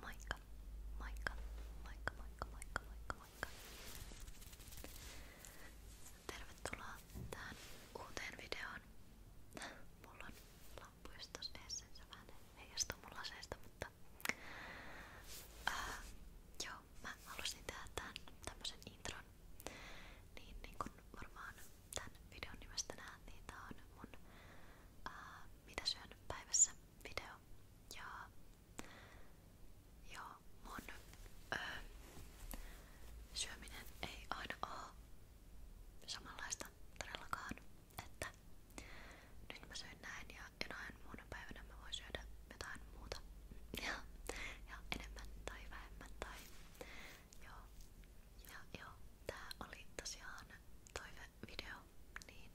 Moikka, moikka, moikka, moikka, moikka, moikka, moikka. Tervetuloa tähän uuteen videoon. Mulla on lamppu just tossa edessä, vähän heijastuu mun laseista, mutta... Äh, joo, mä halusin tehdä tämän tämmösen intron. Niin, niin kun varmaan tämän videon nimestä näet, niin tää on mun ää, äh, mitä syönyt päivässä video ja joo, mun ää, syöminen ei aina oo samanlaista todellakaan, että nyt mä syön näin ja jonain muuna päivänä mä voin syödä jotain muuta ja, ja enemmän tai vähemmän tai joo, ja joo, tää oli tosiaan toi video, niin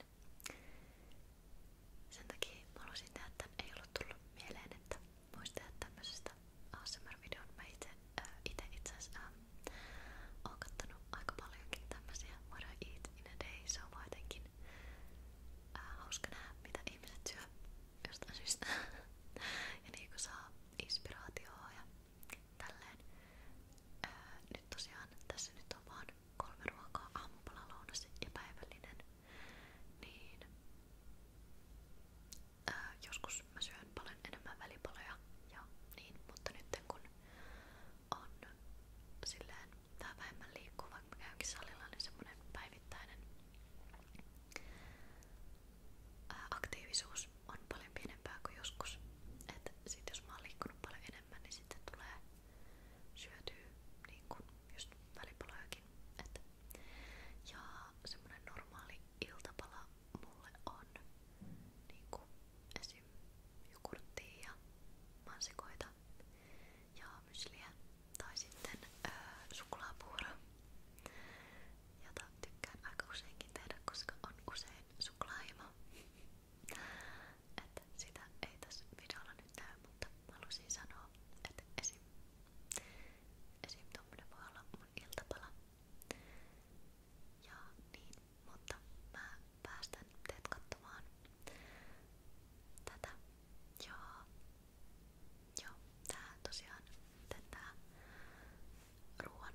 sen takia mä haluaisin tehdä, että ei ollut tullut mieleen, että voisi tehdä tämmöisestä ASMR-videon. Mä itse, äh, itse itseasiassa äh, oon kattonut aika paljonkin tämmöisiä What I Eat in a Day, se on vaan jotenkin äh, hauska nähdä, mitä ihmiset syö jostain syystä. ja niinku saa inspiraatioa ja tälleen. nyt tosiaan tässä nyt on vaan kolme ruokaa, aamupala, ja päivällinen. Niin joskus mä syön paljon enemmän välipaloja ja niin, mutta nyt kun on silleen vähän vähemmän liikkuu, vaikka mä käynkin niin päivittäinen aktiivisuus merkitys on paljon kuin joskus. Että sit jos mä oon niin sitten tulee syötyä niin kuin just välipalojakin. Et. Ja semmonen normaali iltapala mulle on niin kuin esim. jogurttia ja mansikoita ja mysliä tai sitten öö, suklaapuuro jota tykkään aika useinkin tehdä, koska on usein suklaahimo. Että sitä ei tässä videolla nyt näy, mutta halusin sanoa, että esim. esim. tommonen voi olla mun iltapala. Ja niin, mutta mä päästän teet katsomaan tätä. Joo. Joo, tää tosiaan, tää ruoan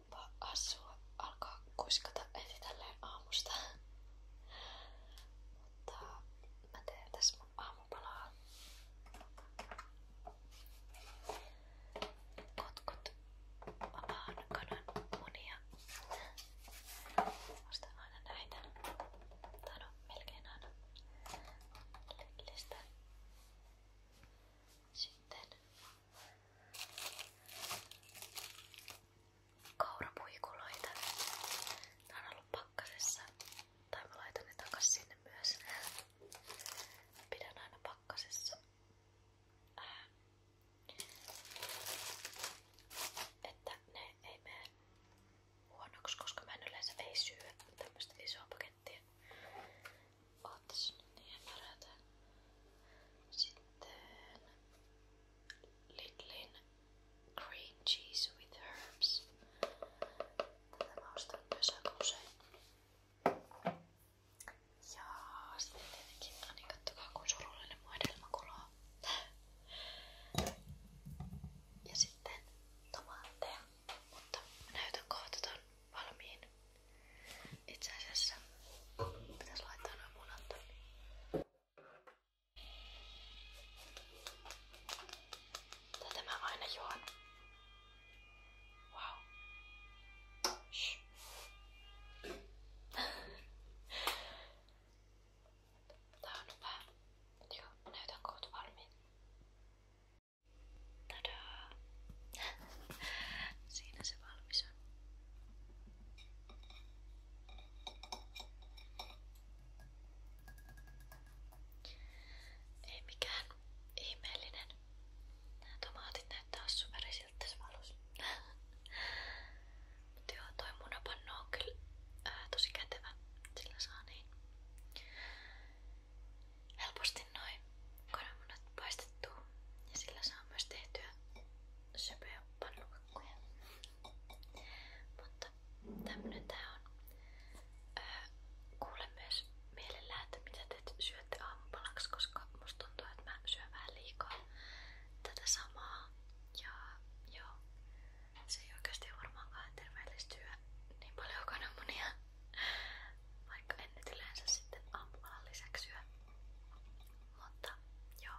Onpa asua alkaa kuiskata heti tälleen aamusta. Mutta mä teen tässä mun aamupalaa. Kotkut vapaan kanan munia. Ostan aina näitä. Tai no, melkein aina. Lidlistä. Sitten Kaurapuikuloita. Nämä on ollut pakkasessa. Tai mä laitan ne takas sinne myös. Pidän aina pakkasessa. Äh. Että ne ei mene huonoksi, koska mä en yleensä ei syö tämmöistä isoa pakettia. Oota niin parata. Sitten Lidlin Green Cheese with Herbs. Tätä mä ostan myös aika usein. Ja sitten tietenkin, no niin kattokaa kun surullinen mun edelmä kuloo. Ja sitten tomaatteja, mutta mä näytän kohta ton valmiin itse asiassa pitäisi laittaa noin munat tonne. Tätä mä aina juon. Wow. Shh. Tää on hyvä. Joo, näytän kohta valmiin. Tadaa! Siinä se valmis on. Ei mikään ihmeellinen. Nämä tomaatit näyttää superisiltä tässä valossa. Mutta joo, toi munapanno on kyllä ää, tosi kätevä. Sillä saa niin helposti noin kananmunat paistettua ja sillä saa myös tehtyä söpöjä pannukakkuja. Mutta tämmönen tää on. Öö, kuule mitä te syötte aamupalaksi, koska musta että mä syön liikaa tätä samaa. Ja joo, se ei oikeasti varmaankaan terveellistyä niin paljon kananmunia. Vaikka en nyt yleensä sitten aamupalan lisäksi syö. Mutta joo,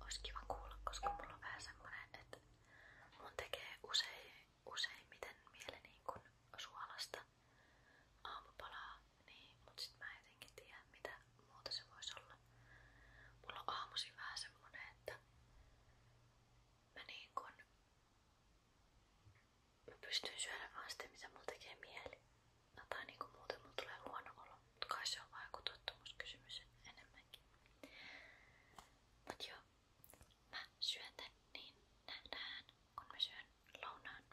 olisi kiva kuulla, koska mulla on vähän semmonen, että mun tekee usein, useimmiten mieli niin suolasta aamupalaa, niin, mut sit mä jotenkin tiedä mitä muuta se voisi olla. Mulla on aamusi vähän semmonen, että mä niin kun Mä pystyn syödä mitä mulla tekee mieli. No, tai niinku muuten mulla tulee huono olo, mutta kai enemmänkin. Mut joo, mä syön niin nähdään, kun mä syön lounaan.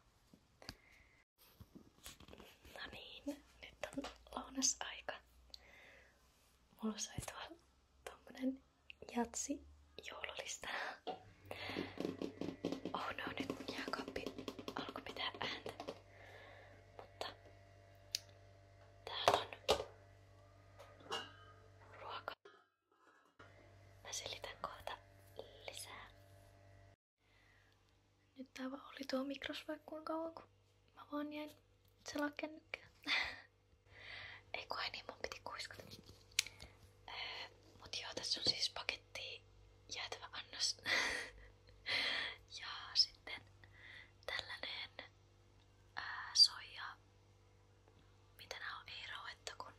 No niin, nyt on lounasaika. Mulla sai tuolla tommonen jatsi joululista. Oh no, nyt mun jääkaappi alkoi pitää ääntä. Mutta täällä on ruoka. Mä selitän kohta lisää. Nyt tää oli tuo mikros vaikka kuinka kauan kun mä vaan jäin selakännykään. Ei kun ai niin, mun piti kuiskata. Öö, mut joo, tässä on siis paketti jäätävä annos. ja sitten tällainen ää, äh, soija. Mitä nää on? Ei rauetta kun...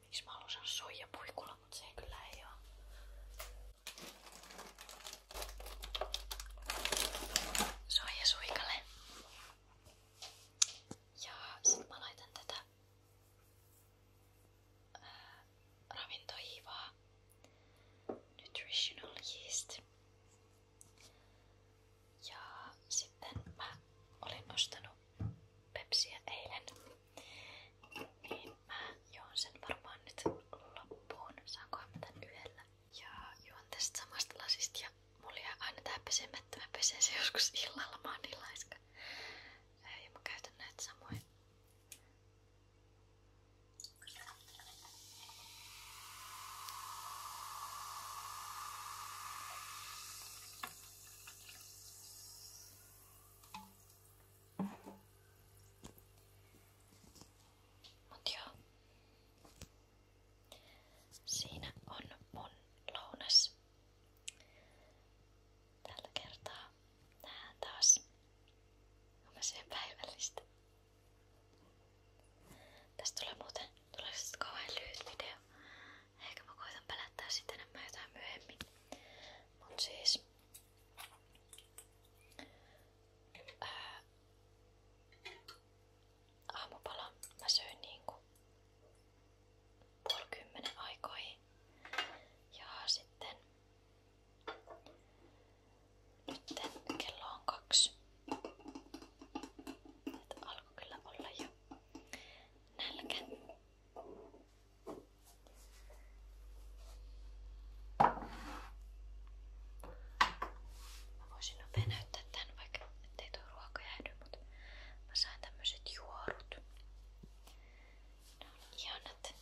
Miksi mä haluan sanoa soijapuikula, mut se ei kyllä ei oo. Soija suikalle. Ja sit mä laitan tätä ää, ravintohiivaa Nutritional Yeast. Ja sitten mä olin ostanut pepsiä eilen. Niin mä joon sen varmaan nyt loppuun. Saankohan mä tän yhdellä ja juon tästä samasta lasista ja mulla jää aina tää pesemättä. Mä pesen se joskus illalla, mä oon niin Ja mä käytän näitä samoin. Mut joo. Siinä on mun lounas. Tällä kertaa nähdään taas. Kun mä syön päivällistä. Tästä tulee muuten tulee sit siis kauhean lyhyt video. Ehkä mä koitan pelättää sitä enemmän jotain myöhemmin. Mut siis ää, äh, aamupalan mä söin niinku puoli kymmenen aikoihin ja sitten nytten kello on kaksi. Nyt alkoi kyllä olla jo nälkä. Mä voisin nopea näyttää tän vaikka ettei tuo ruoka jäädy, mutta mä sain tämmöset juorut. Ne on ihanat.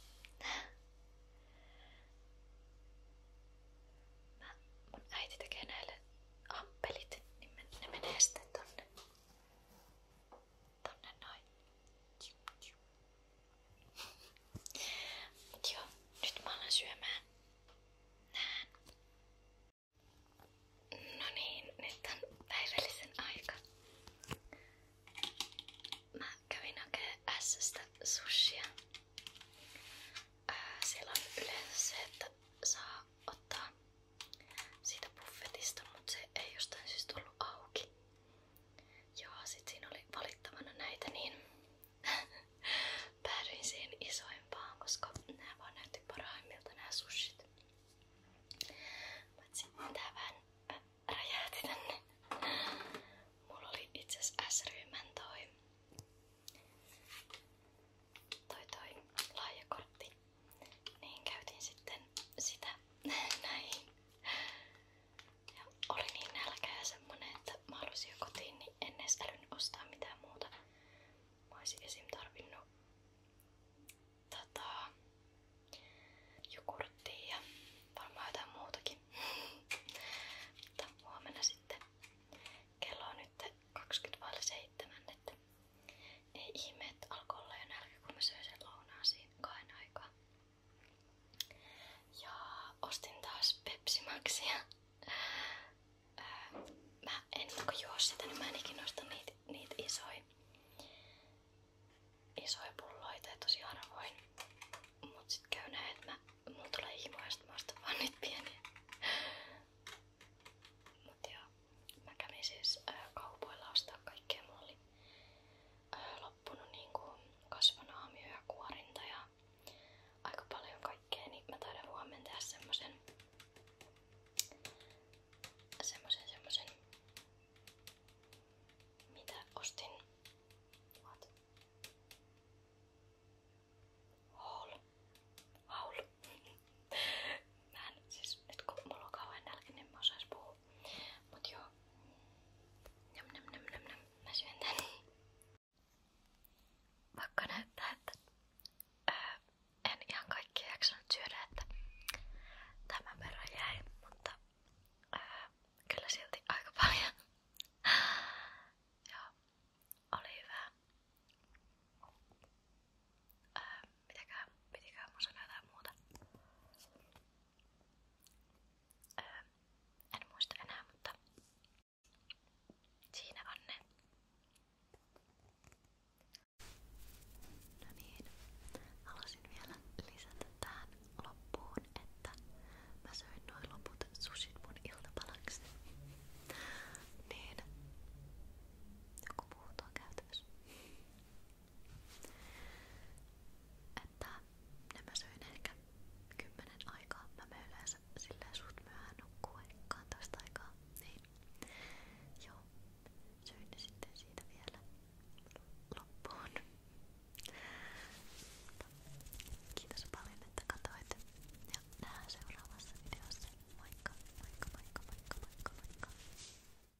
Mä, mun äiti tekee näille amppelit, niin ne menee sitten tonne. Tonne noin. Tjum, tjum. Mut joo, nyt mä alan syömään. Näen. No niin, nyt on päivällisen aika. Mä kävin hakemaan S:stä sushia. Ää, siellä on yleensä se, että saa ottaa siitä buffetista, mutta se ei jostain syystä ollut auki. Joo, sit siinä oli valittavana näitä, niin päädyin siihen isoimpaan, koska nämä vaan näytti parhaimmilta nämä sushit. Mutta sitten tää vähän äh, räjähti tänne. Mulla oli itse asiassa S-ryhmän toi, toi, toi lahjakortti. Niin käytin sitten sitä näihin oli niin nälkä ja semmonen, että mä halusin jo kotiin, niin en edes älynyt ostaa mitään muuta. Mä olisin esim. tarvinnut tota, jogurttia ja varmaan jotain muutakin. Mutta huomenna sitten kello on nyt 20.07, että ei ihme, että alkoi olla jo nälkä, kun mä söin sen lounaan siinä kahden aikaa. Ja ostin taas Pepsi Maxia. Öö, mä en kun niinku juo sitä, niin mä en ikinä osta niitä niit isoja isoja pulloita ja tosi harvoin. Mut sit käy näin, että mä, mulla tulee himoa ja mä ostan vaan niitä pieniä. Mut joo, mä kävin siis ostaa kaikkea. oli loppunut niinku kasvanaamio ja kuorinta ja aika paljon kaikkea, niin mä taidan huomenna tehdä semmosen semmosen semmosen mitä ostin What? Haul. Haul. mä en siis nyt kun mulla on kauhean nälkä, niin mä osais puhua Mut joo. Jam, jam, jam, jam, jam. Mä syön tän. Vaikka näyttää, että ää, en ihan kaikkia jaksanut syödä, että tämän verran jäi, mutta ää, kyllä silti aika paljon. joo, oli hyvä. Ää, mitäkään, pitikään mun sanoa jotain muuta. Öö, en muista enää, mutta siinä on ne. No niin, halusin vielä lisätä tähän loppuun, että mä söin noin loput sushit mun iltapalaksi. niin, joku muu tuo käytännössä. Että ne mä söin ehkä kymmenen aikaa. Mä me yleensä silleen suht myöhään nukkuu, eikä toista aikaa. Niin. Joo. Söin ne sitten siitä vielä loppuun. Kiitos paljon, että katsoit. Ja nähdään seuraavassa videossa. Moikka, moikka, moikka, moikka, moikka, moikka.